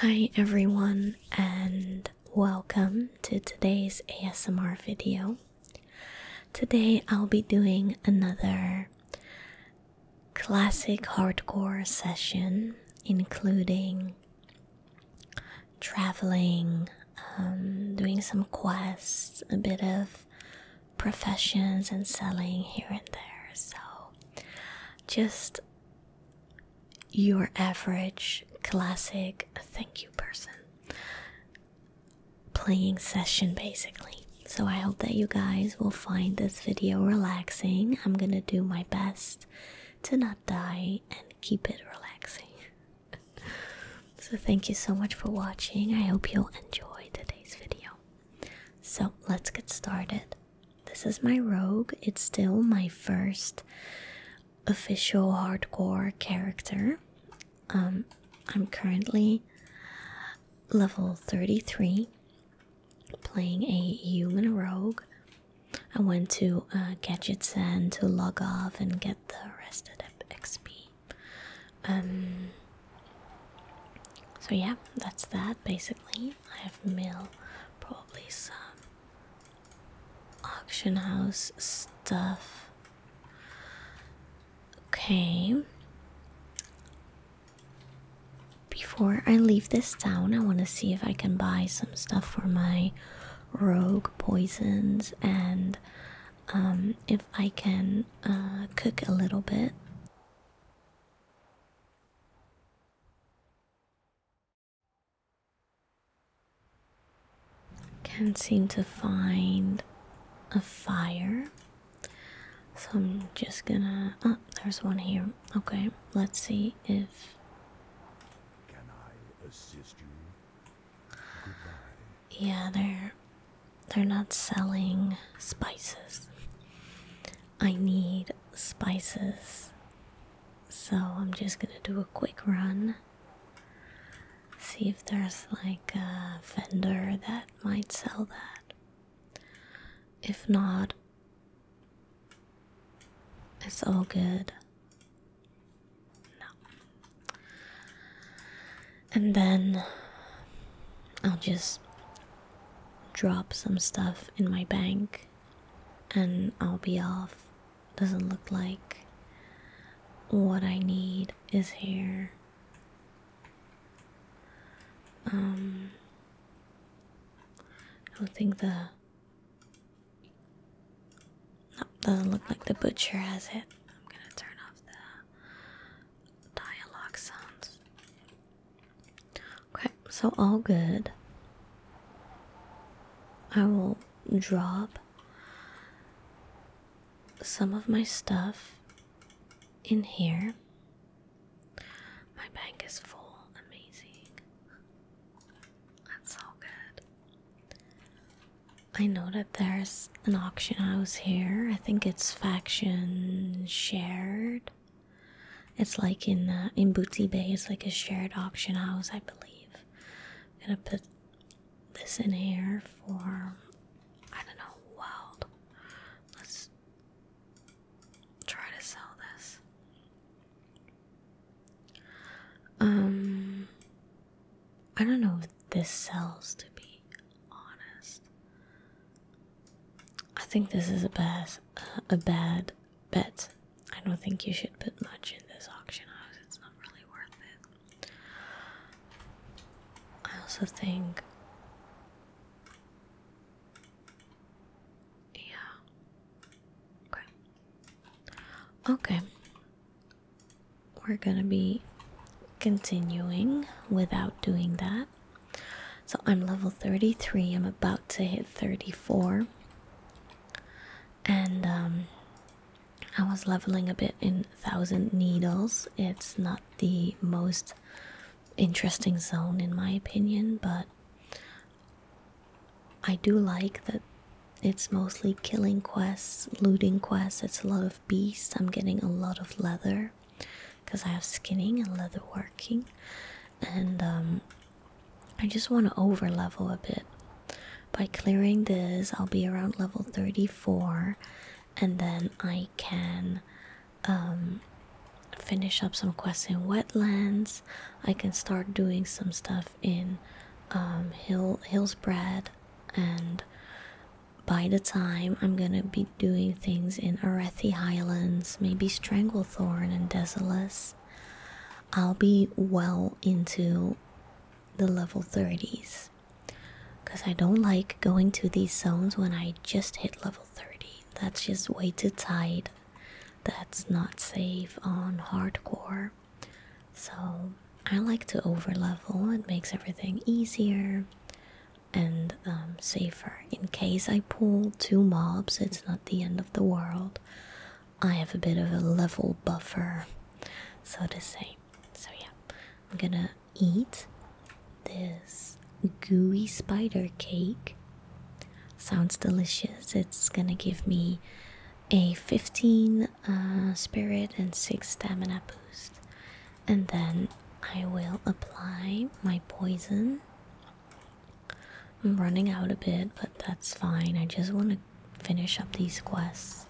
Hi everyone and welcome to today's ASMR video. Today I'll be doing another classic hardcore session including traveling, um, doing some quests, a bit of professions and selling here and there. So just your average classic thank you person playing session basically. So I hope that you guys will find this video relaxing. I'm gonna do my best to not die and keep it relaxing. so thank you so much for watching. I hope you'll enjoy today's video. So let's get started. This is my rogue. It's still my first official hardcore character. Um, I'm currently level 33 playing a human rogue. I went to uh, Gadget Sand to log off and get the rest of XP. Um, so, yeah, that's that basically. I have mail, probably some auction house stuff. Okay. Before I leave this town, I want to see if I can buy some stuff for my rogue poisons and um, if I can uh, cook a little bit. Can't seem to find a fire. So I'm just gonna. Oh, there's one here. Okay, let's see if. Yeah, they're they're not selling spices. I need spices. So I'm just gonna do a quick run. See if there's like a vendor that might sell that. If not, it's all good. No. And then I'll just drop some stuff in my bank and I'll be off. Doesn't look like what I need is here. Um, I don't think the. doesn't look like the butcher has it. I'm gonna turn off the dialogue sounds. Okay, so all good. I will drop some of my stuff in here. My bank is full. Amazing. That's so good. I know that there's an auction house here. I think it's faction shared. It's like in uh, in Bootsy Bay. It's like a shared auction house, I believe. I'm gonna put this in here for I don't know. Wild. Let's try to sell this. Um, I don't know if this sells. To be honest, I think this is a bad, a bad bet. I don't think you should put much in this auction house. It's not really worth it. I also think, yeah, okay, okay. We're gonna be continuing without doing that. So I'm level 33, I'm about to hit 34. And um, I was leveling a bit in Thousand Needles. It's not the most interesting zone, in my opinion, but I do like that it's mostly killing quests, looting quests, it's a lot of beasts. I'm getting a lot of leather because I have skinning and leather working, and um, I just want to over level a bit. By clearing this, I'll be around level 34, and then I can um, finish up some quests in wetlands. I can start doing some stuff in um, Hill Hillsbred, and by the time I'm gonna be doing things in Arethi Highlands, maybe Strangle Thorn and Desolus, I'll be well into the level 30s because I don't like going to these zones when I just hit level 30. That's just way too tight. That's not safe on hardcore. So I like to overlevel, it makes everything easier and um, safer in case I pull two mobs, it's not the end of the world. I have a bit of a level buffer, so to say. So, yeah, I'm gonna eat this gooey spider cake. Sounds delicious. It's gonna give me a 15 uh, spirit and 6 stamina boost. And then I will apply my poison. I'm running out a bit, but that's fine. I just want to finish up these quests.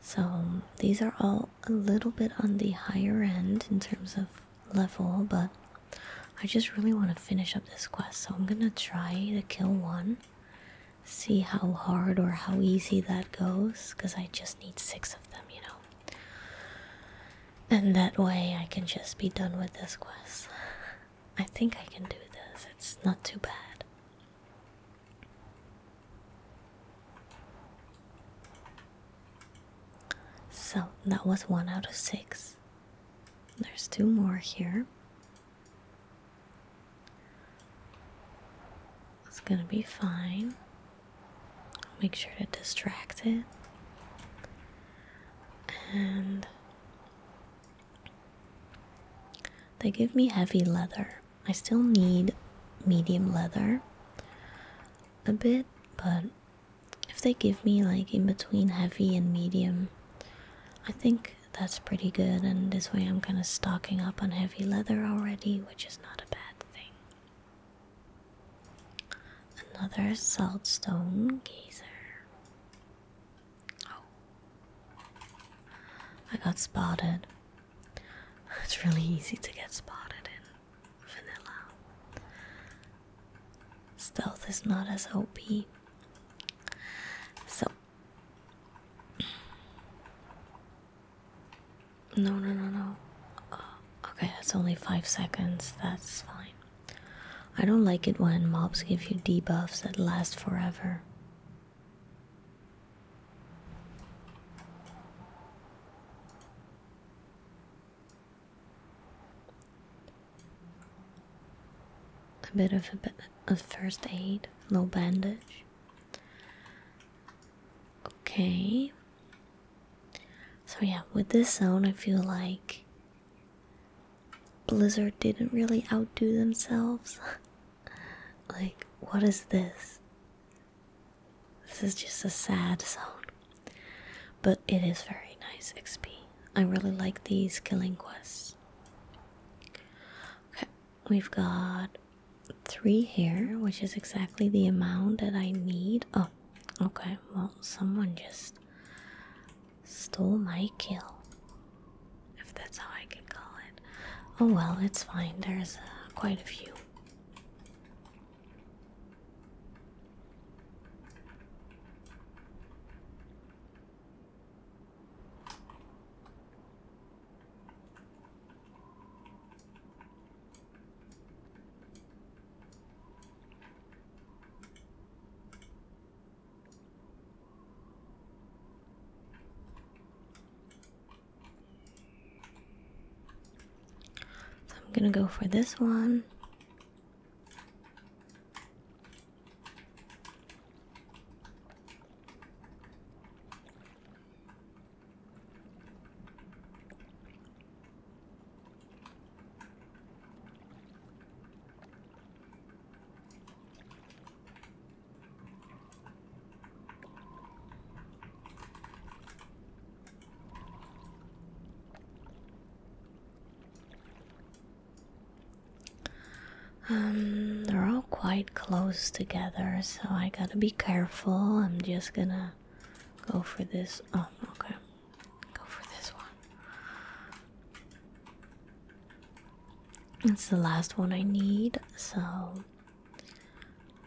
So, these are all a little bit on the higher end in terms of level, but I just really want to finish up this quest. So, I'm going to try to kill one, see how hard or how easy that goes, because I just need six of them, you know. And that way I can just be done with this quest. I think I can do this, it's not too bad. So that was one out of six. There's two more here. It's gonna be fine. Make sure to distract it. And they give me heavy leather. I still need medium leather a bit, but if they give me like in between heavy and medium, I think that's pretty good. And this way, I'm kind of stocking up on heavy leather already, which is not a bad thing. Another saltstone geyser. Oh. I got spotted. It's really easy to get spotted in vanilla. Stealth is not as OP. So No, no, no, no. Uh, okay, that's only five seconds. That's fine. I don't like it when mobs give you debuffs that last forever. A bit of a, a first aid, no bandage. Okay. So, yeah, with this zone, I feel like Blizzard didn't really outdo themselves. like, what is this? This is just a sad zone. But it is very nice XP. I really like these killing quests. Okay, we've got three here, which is exactly the amount that I need. Oh, Okay, well, someone just stole my kill. If that's how I could call it. Oh well, it's fine. There's uh, quite a few. So I'm going to go for this one. Um, they're all quite close together, so I gotta be careful. I'm just gonna go for this. Oh, okay. Go for this one. It's the last one I need, so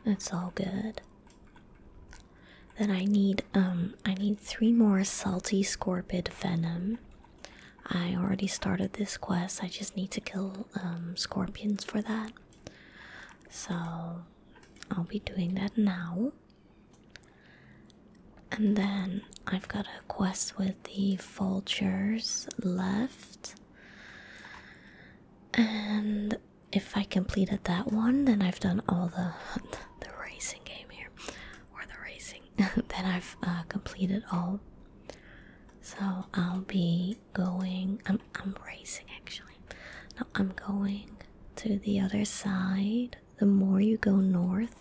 that's all good. Then I need um I need three more salty scorpid venom. I already started this quest. I just need to kill um scorpions for that. So I'll be doing that now. And then I've got a quest with the vultures left. And if I completed that one, then I've done all the the racing game here, or the racing. then I've uh, completed all. So I'll be going. I'm I'm racing actually. Now I'm going to the other side. The more you go north,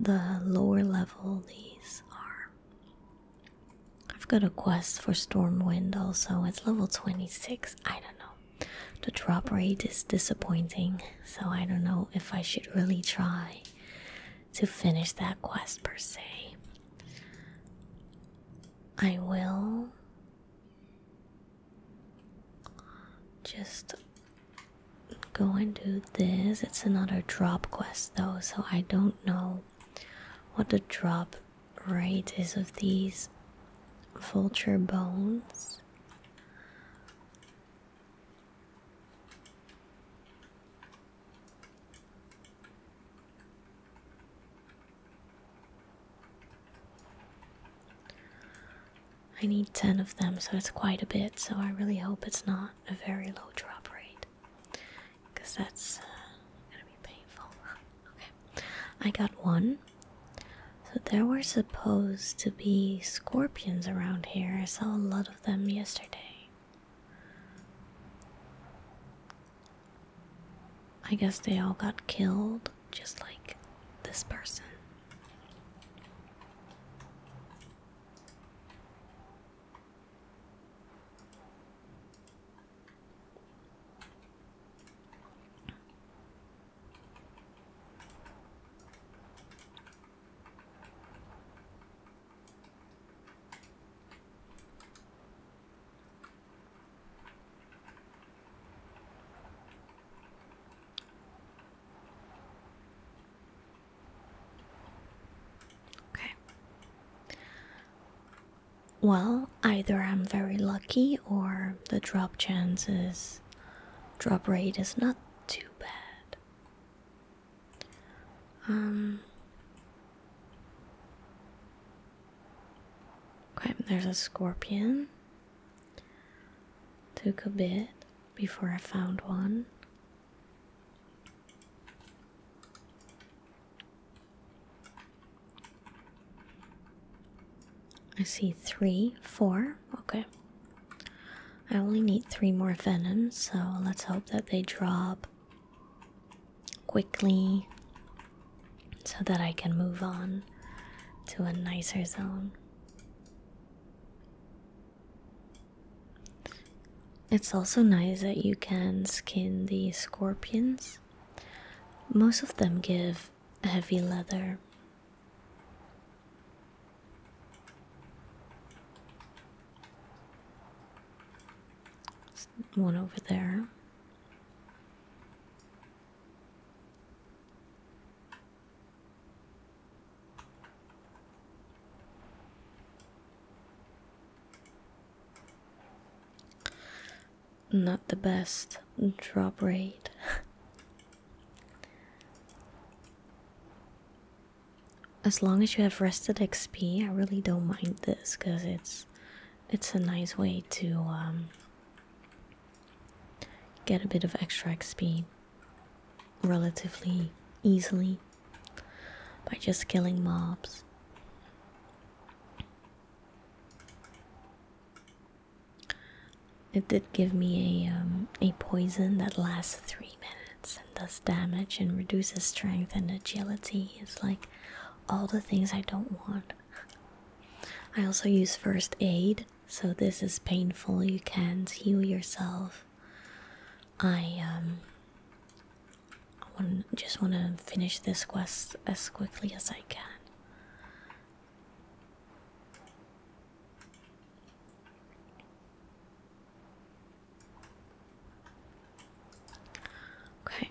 the lower level these are. I've got a quest for Stormwind also. It's level 26. I don't know. The drop rate is disappointing, so I don't know if I should really try to finish that quest per se. I will just go and do this. It's another drop quest though, so I don't know what the drop rate is of these vulture bones. I need 10 of them, so it's quite a bit, so I really hope it's not a very low drop rate. Because that's uh, gonna be painful. okay, I got one. So there were supposed to be scorpions around here. I saw a lot of them yesterday. I guess they all got killed just like this person. Okay. Well, either I'm very lucky or the drop chances drop rate is not too bad. Um Okay, there's a scorpion. Took a bit before I found one. I see three, four, okay. I only need three more venoms, so let's hope that they drop quickly so that I can move on to a nicer zone. It's also nice that you can skin the scorpions. Most of them give heavy leather. one over there. Not the best drop rate. as long as you have rested XP, I really don't mind this because it's it's a nice way to um get a bit of extra XP relatively easily by just killing mobs. It did give me a um, a poison that lasts three minutes and does damage and reduces strength and agility. It's like all the things I don't want. I also use first aid so this is painful you can't heal yourself i um i want just want to finish this quest as quickly as i can Okay.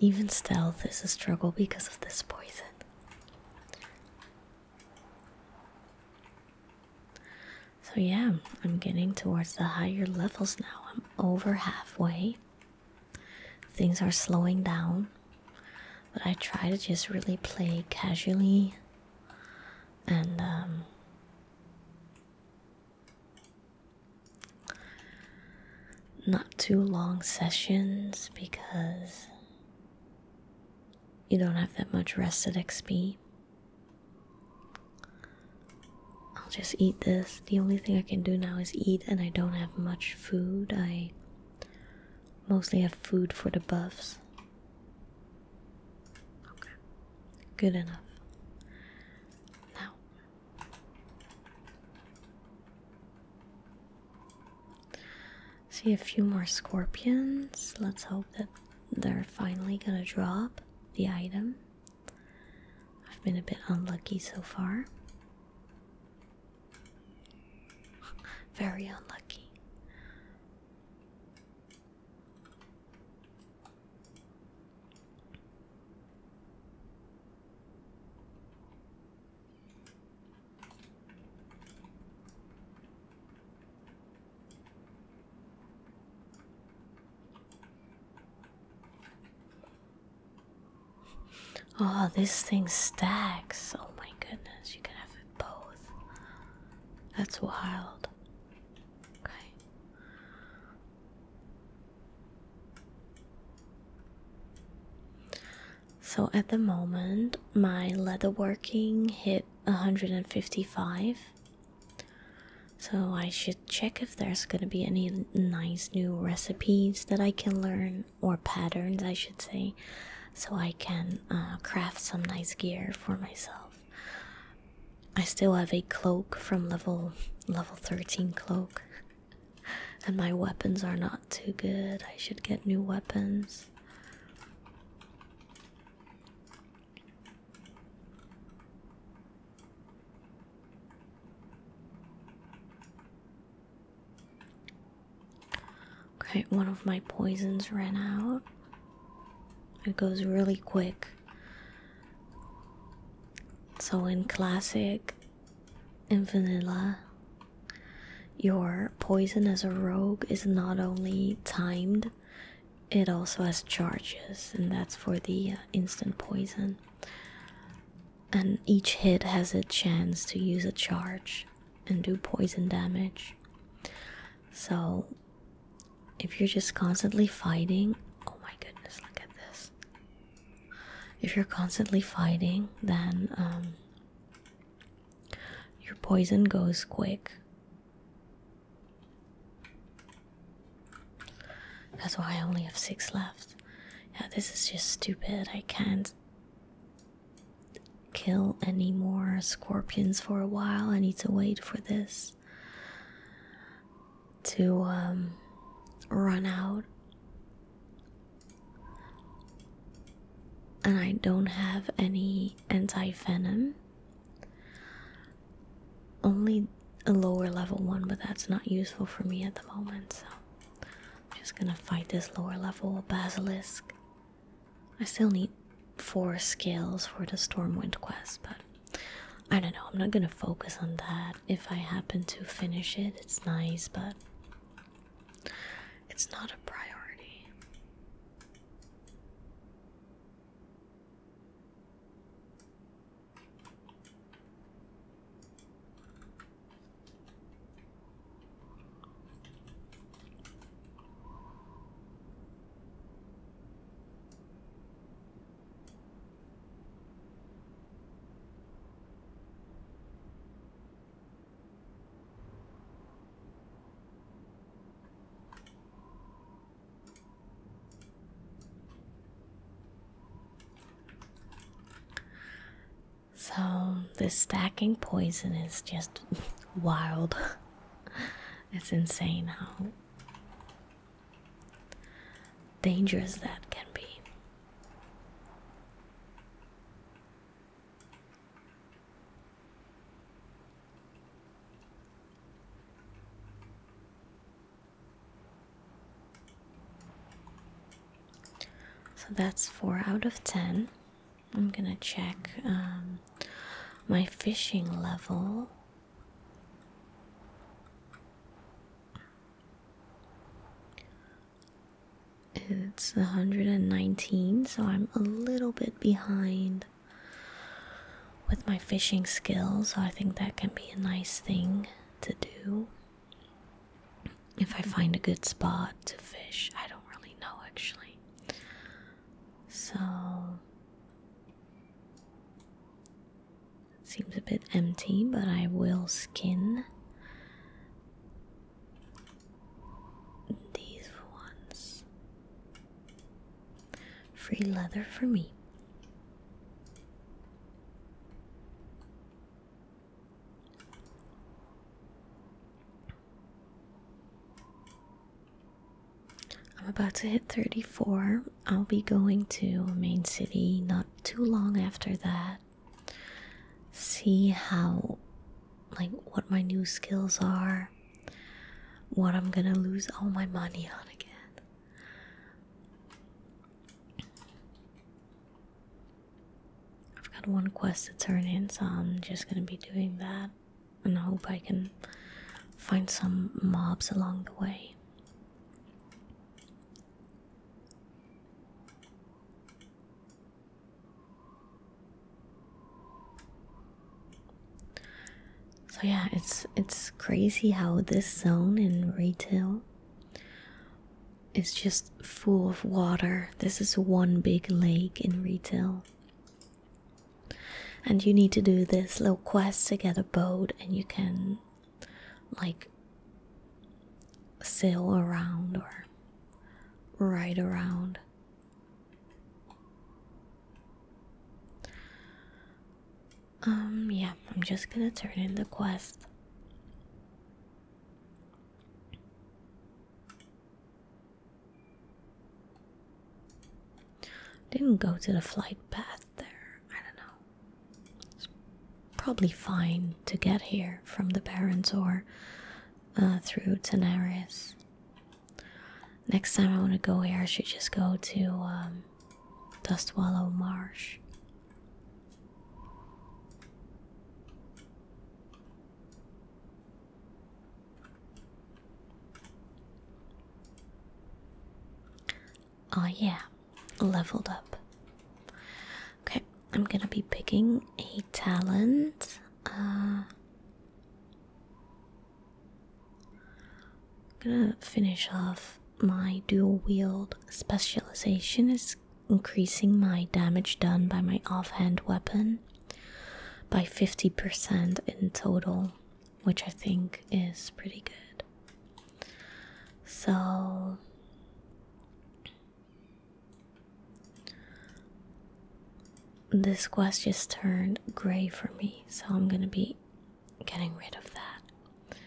Even stealth is a struggle because of this poison. So, yeah, I'm getting towards the higher levels now. I'm over halfway. Things are slowing down. But I try to just really play casually and um, not too long sessions because you don't have that much rest at XP. I'll just eat this. The only thing I can do now is eat, and I don't have much food. I mostly have food for the buffs. Okay, good enough. Now, See a few more scorpions. Let's hope that they're finally gonna drop the item. I've been a bit unlucky so far. Very unlucky. Oh, this thing stacks. Oh my goodness, you can have it both. That's wild. Okay. So at the moment, my leatherworking hit 155. So I should check if there's going to be any nice new recipes that I can learn, or patterns, I should say, so I can uh, craft some nice gear for myself. I still have a cloak from level level 13 cloak and my weapons are not too good. I should get new weapons. Okay, one of my poisons ran out. It goes really quick. So in classic, in vanilla, your poison as a rogue is not only timed, it also has charges, and that's for the uh, instant poison. And each hit has a chance to use a charge and do poison damage. So, if you're just constantly fighting, oh my goodness, look at this. If you're constantly fighting, then um, your poison goes quick. That's why I only have six left. Yeah, this is just stupid. I can't kill any more scorpions for a while. I need to wait for this to um, run out and I don't have any anti venom. Only a lower level one, but that's not useful for me at the moment, so I'm just gonna fight this lower level basilisk. I still need four skills for the Stormwind quest, but I don't know, I'm not gonna focus on that. If I happen to finish it, it's nice, but it's not a priority. So, this stacking poison is just wild. it's insane how dangerous that can be. So that's four out of ten. I'm gonna check um, my fishing level. It's 119, so I'm a little bit behind with my fishing skills, so I think that can be a nice thing to do. If I find a good spot to fish, I don't really know actually. So it seems a bit empty, but I will skin these ones. Free leather for me. I'm about to hit 34. I'll be going to main city not too long after that. See how, like, what my new skills are, what I'm gonna lose all my money on again. I've got one quest to turn in, so I'm just gonna be doing that and I hope I can find some mobs along the way. So yeah, it's it's crazy how this zone in retail is just full of water. This is one big lake in retail. And you need to do this little quest to get a boat and you can like sail around or Right around. Um, yeah, I'm just gonna turn in the quest. Didn't go to the flight path there. I don't know. It's probably fine to get here from the parents or uh, through Tenaris. Next time I want to go here, I should just go to um, Dustwallow Marsh. Oh, yeah, leveled up. Okay, I'm gonna be picking a talent. Uh, I'm gonna finish off my dual wield specialization is increasing my damage done by my offhand weapon by 50% in total, which I think is pretty good. So this quest just turned gray for me, so I'm gonna be getting rid of that.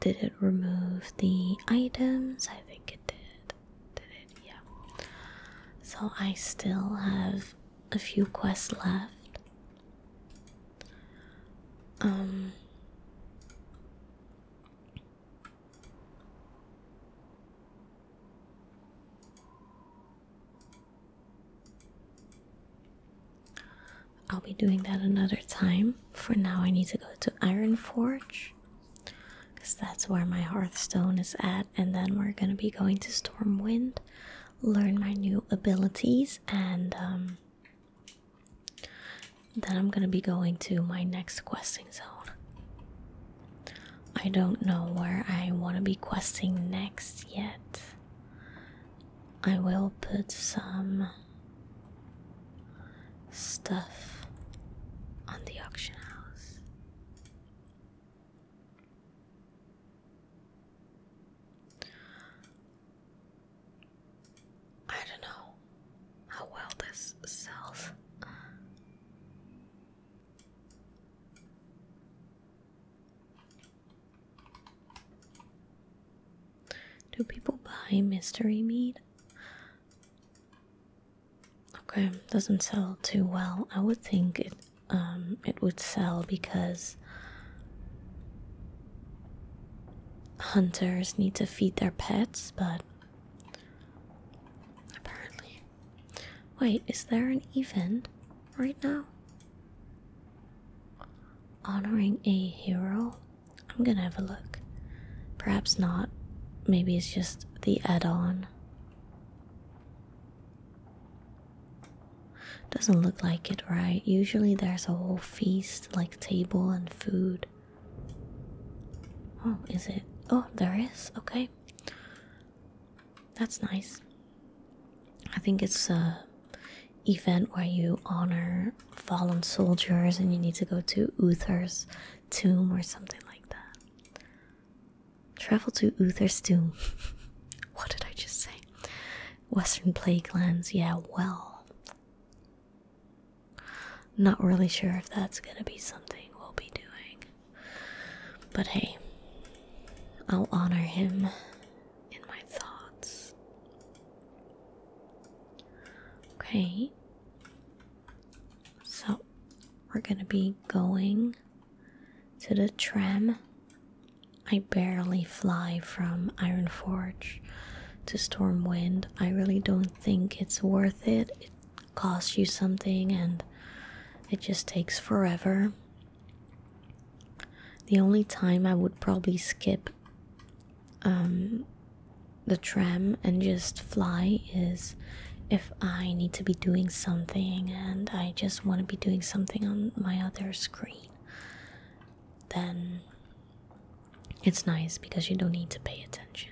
Did it remove the items? I think it did. Did it? Yeah. So I still have a few quests left. Um I'll be doing that another time. For now, I need to go to Iron Forge because that's where my Hearthstone is at, and then we're gonna be going to Stormwind, learn my new abilities, and um, then I'm gonna be going to my next questing zone. I don't know where I want to be questing next yet. I will put some stuff on the auction house. I don't know how well this sells. do people buy mystery meat? Okay, doesn't sell too well. I would think it um it would sell because hunters need to feed their pets, but Apparently. Wait, is there an event right now? Honoring a hero? I'm gonna have a look. Perhaps not. Maybe it's just the add on. Doesn't look like it, right? Usually there's a whole feast, like table and food. Oh, is it? Oh, there is. Okay. That's nice. I think it's a event where you honor fallen soldiers and you need to go to Uther's tomb or something like that. Travel to Uther's tomb. what did I just say? Western plague lands. Yeah, well. Not really sure if that's gonna be something we'll be doing. But hey, I'll honor him in my thoughts. Okay. So, we're gonna be going to the tram. I barely fly from Ironforge to Stormwind. I really don't think it's worth it. It costs you something and it just takes forever. The only time I would probably skip um, the tram and just fly is if I need to be doing something and I just want to be doing something on my other screen. Then it's nice because you don't need to pay attention.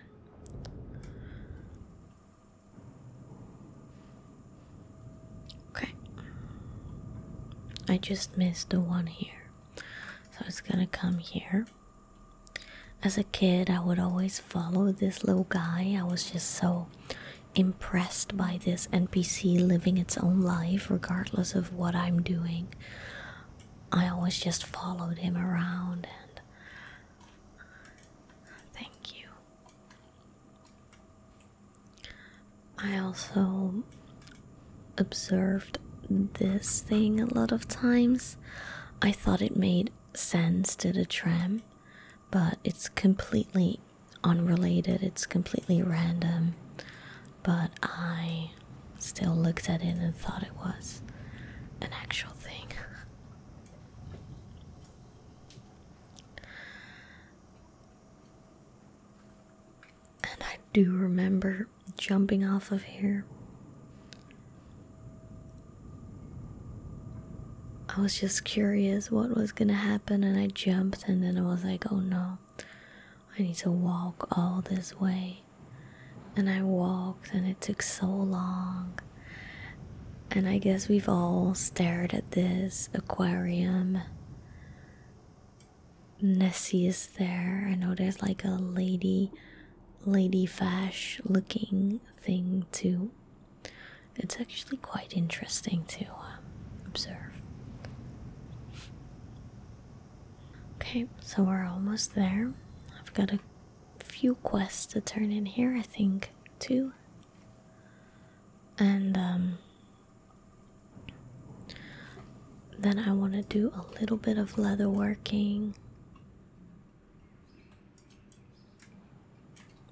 Okay. I just missed the one here. So it's gonna come here. As a kid, I would always follow this little guy. I was just so impressed by this NPC living its own life, regardless of what I'm doing. I always just followed him around and Thank you. I also observed this thing a lot of times. I thought it made sense to the tram, but it's completely unrelated, it's completely random. But I still looked at it and thought it was an actual thing. And I do remember jumping off of here. I was just curious what was gonna happen, and I jumped, and then I was like, oh no, I need to walk all this way and I walked, and it took so long. And I guess we've all stared at this aquarium. Nessie is there. I know there's like a lady, ladyfish looking thing too. It's actually quite interesting to um, observe. Okay, so we're almost there. I've got a few quests to turn in here, I think, too. And um, then I want to do a little bit of leather working.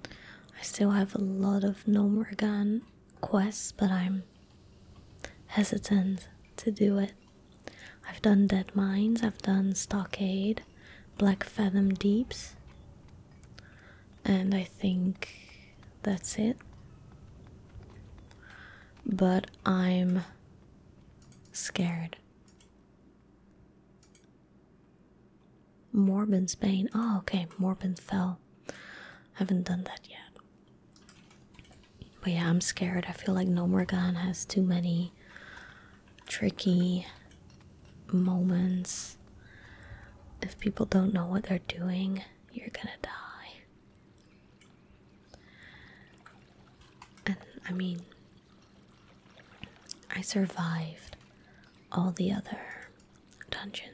I still have a lot of Nomragan quests, but I'm hesitant to do it I've done Dead Mines, I've done Stockade, Black Fathom Deeps, and I think that's it. But I'm scared. Morbin's Bane. Oh, okay, Morbin fell. I Haven't done that yet. But yeah, I'm scared. I feel like No more Morgan has too many tricky moments. If people don't know what they're doing, you're gonna die. And I mean, I survived all the other dungeons.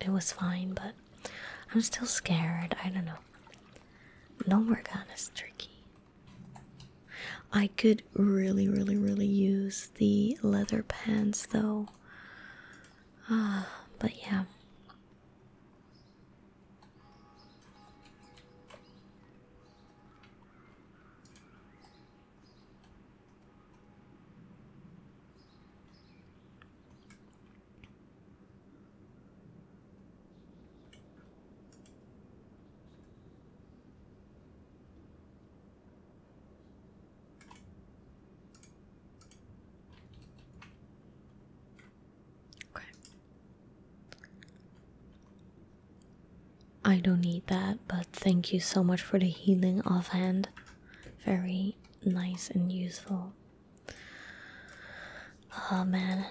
It, was fine, but I'm still scared. I don't know. No work on is tricky. I could really, really, really use the leather pants though. Uh, but yeah. Okay. I don't need that, but thank you so much for the healing offhand. Very nice and useful. Oh man,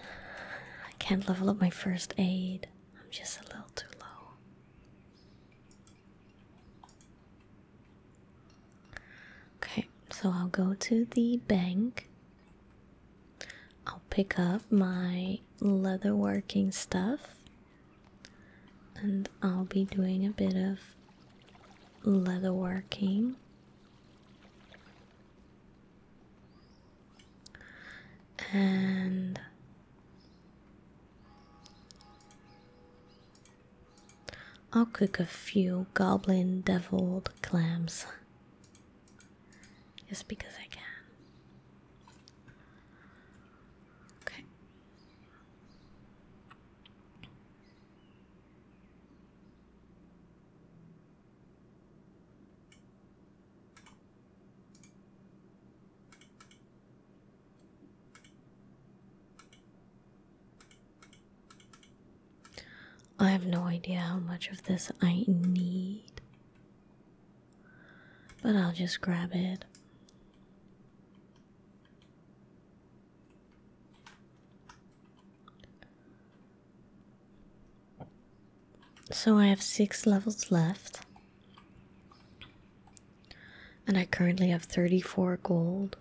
I can't level up my first aid. I'm just a little too low. Okay, so I'll go to the bank. I'll pick up my leatherworking stuff. And I'll be doing a bit of leatherworking and I'll cook a few goblin deviled clams just because I can. Okay. I have no idea how much of this I need, but I'll just grab it. So I have six levels left. And I currently have 34 gold.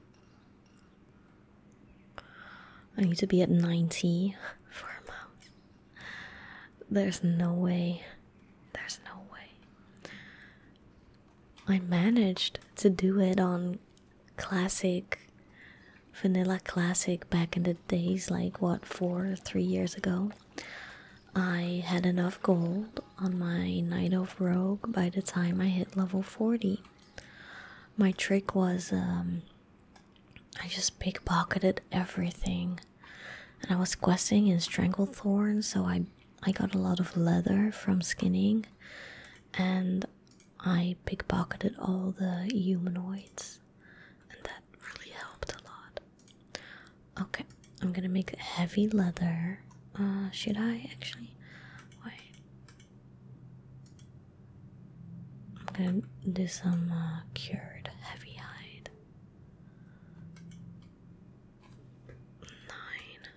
I need to be at 90 for a month. There's no way. There's no way. I managed to do it on classic, vanilla classic back in the days, like what, four or three years ago. I had enough gold on my Night of Rogue by the time I hit level 40. My trick was um, I just pickpocketed everything. And I was questing in Stranglethorn, so I I got a lot of leather from skinning, and I pickpocketed all the humanoids, really helped a lot. Okay, I'm gonna make heavy leather. Uh, should I actually? Wait. I'm gonna do some uh, cured heavy hide. Nine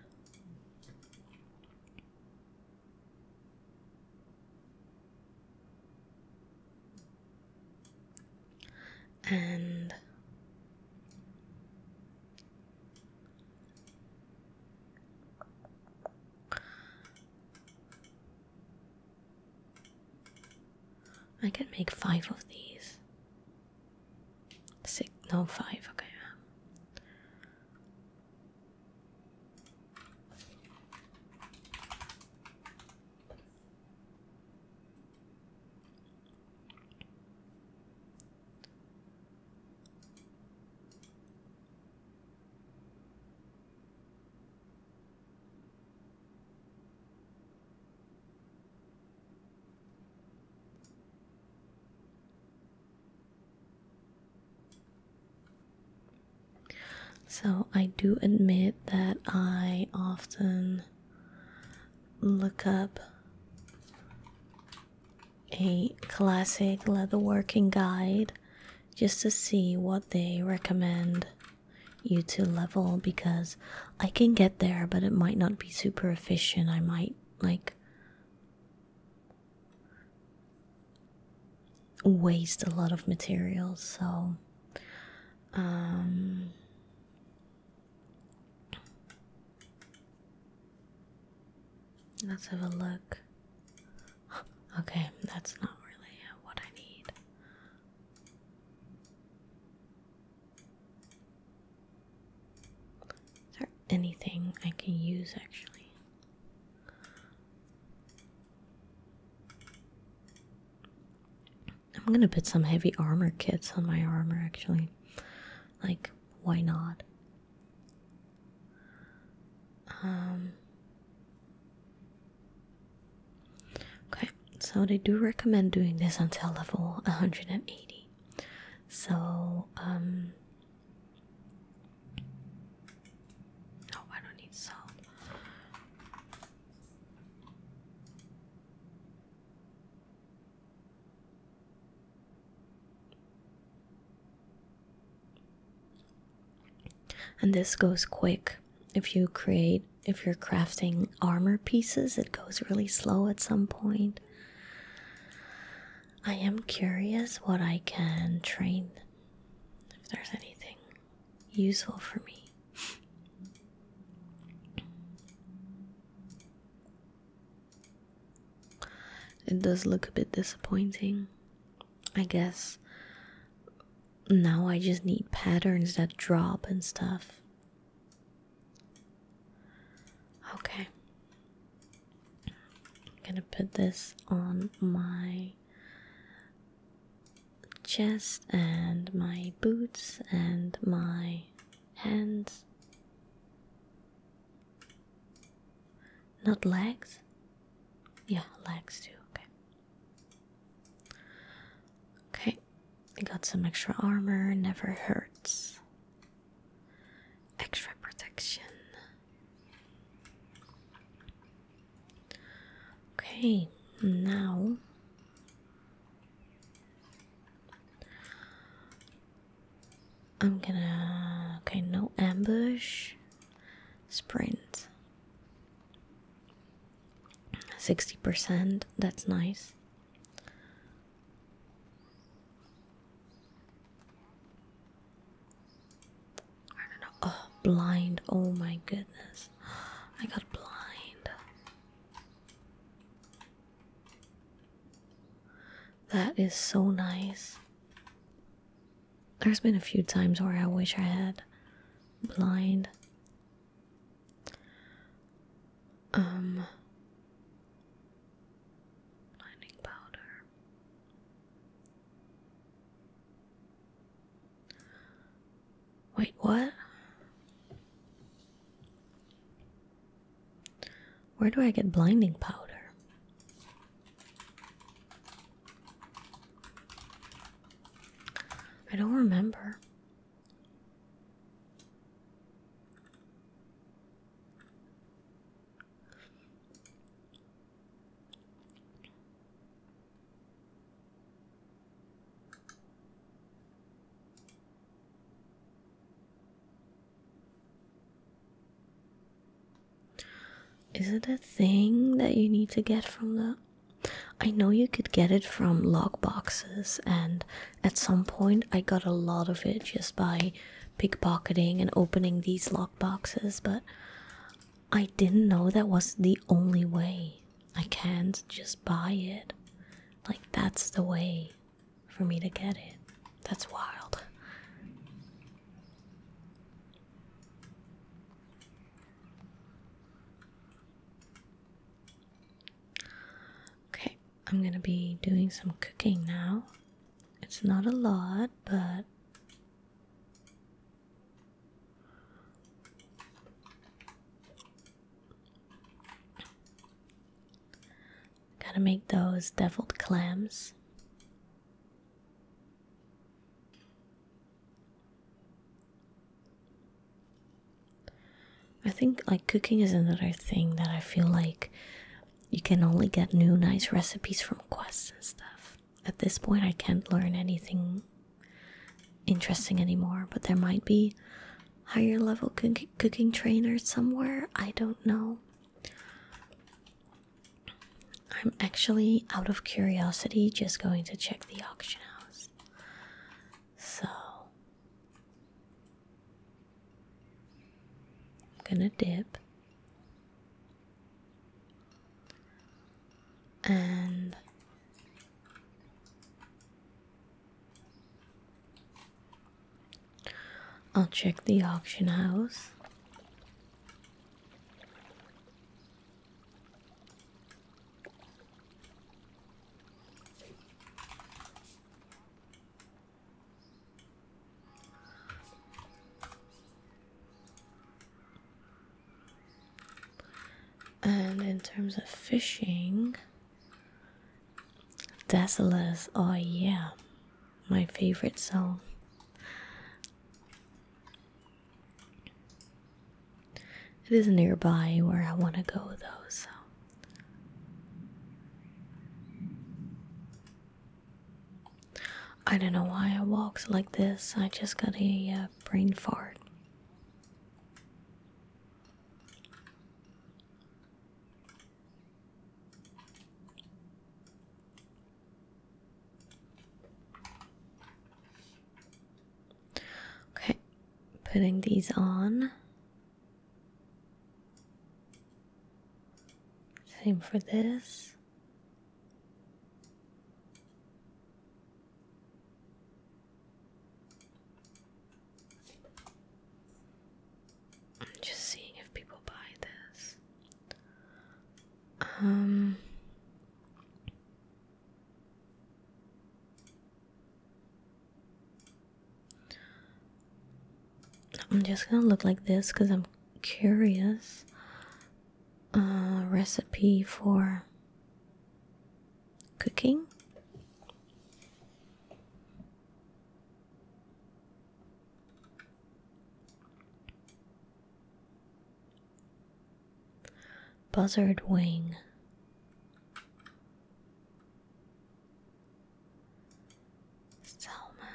and I can make five of these. Six, no, five, okay. So, I do admit that I often look up a classic leatherworking guide just to see what they recommend you to level because I can get there, but it might not be super efficient. I might like waste a lot of materials, so um Let's have a look. Okay, that's not really what I need. Is there anything I can use actually? I'm gonna put some heavy armor kits on my armor actually. Like, why not? Um, okay, so they do recommend doing this until level 180. So, um, Oh, I don't need salt. And this goes quick. If you create, if you're crafting armor pieces, it goes really slow at some point. I am curious what I can train, if there's anything useful for me. It does look a bit disappointing. I guess now I just need patterns that drop and stuff. Okay. I'm gonna put this on my chest and my boots and my Hands. not legs yeah legs too okay okay got some extra armor never hurts extra protection okay now I'm gonna. Okay, no ambush. Sprint. 60%, that's nice. I don't know. Oh, blind. Oh my goodness. I got blind. That is so nice. There's been a few times where I wish I had blind. Um blinding powder. Wait, what? Where do I get blinding powder? I don't remember. Is it a thing that you need to get from the? I know you could get it from lockboxes, and at some point I got a lot of it just by pickpocketing and opening these lockboxes. but I didn't know that was the only way. I can't just buy it. Like, that's the way for me to get it. That's wild. Okay, I'm gonna be doing some cooking now. It's not a lot, but. Gotta make those deviled clams. I think like cooking is another thing that I feel like you can only get new nice recipes from quests and stuff. At this point I can't learn anything interesting anymore, but there might be higher level cook cooking trainer somewhere. I don't know. I'm actually out of curiosity just going to check the auction house. So I'm gonna dip and I'll check the auction house. And in terms of fishing, Desolus, oh yeah, my favorite song. It is nearby where I want to go though, so. I don't know why I walked like this, I just got a uh, brain fart. Okay, putting these on. Same for this. I'm just seeing if people buy this. Um I'm just gonna look like this because I'm curious. Uh, recipe for cooking. Buzzard wing. Salmon.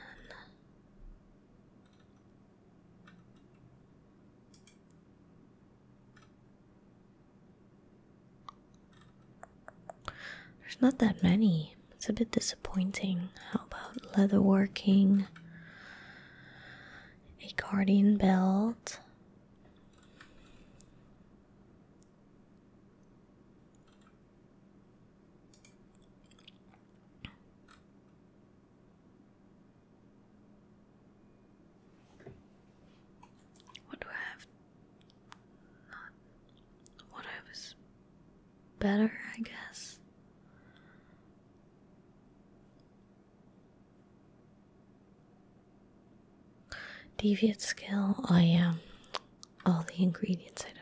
There's not that many. It's a bit disappointing. How about leatherworking? A guardian belt. What do I have what I was better, I guess. Deviant skill, I yeah, all the ingredients I don't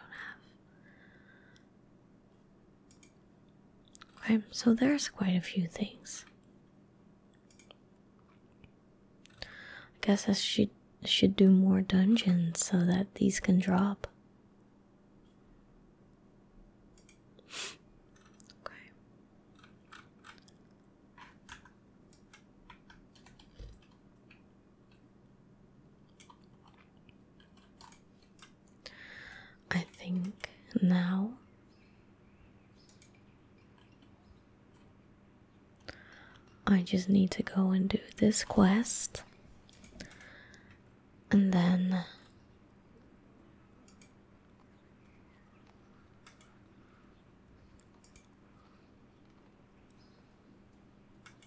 have. Okay, so there's quite a few things. I guess I should should do more dungeons so that these can drop. Okay. I think now I just need to go and do this quest. And then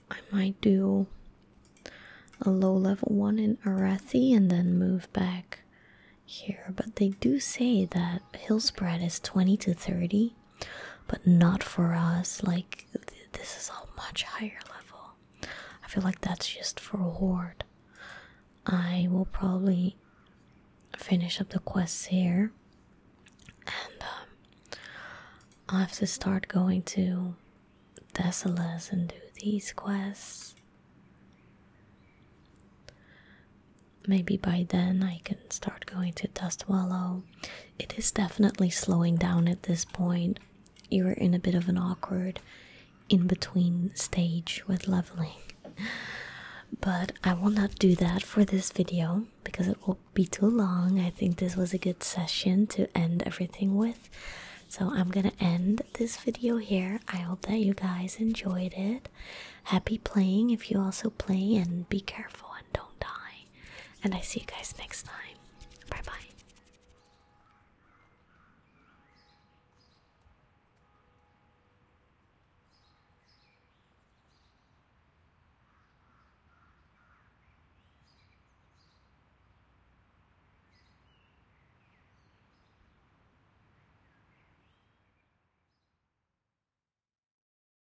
I might do a low level one in Arathi and then move back here. But they do say that hill spread is 20 to 30 but not for us. Like, this is a much higher level. I feel like that's just for a Horde. I will probably finish up the quests here, and um, i have to start going to Desolus and do these quests. Maybe by then I can start going to Dustwallow it is definitely slowing down at this point. You're in a bit of an awkward in between stage with leveling. But I will not do that for this video because it will be too long. I think this was a good session to end everything with. So I'm gonna end this video here. I hope that you guys enjoyed it. Happy playing if you also play, and be careful and don't die and I see you guys next time. Bye bye.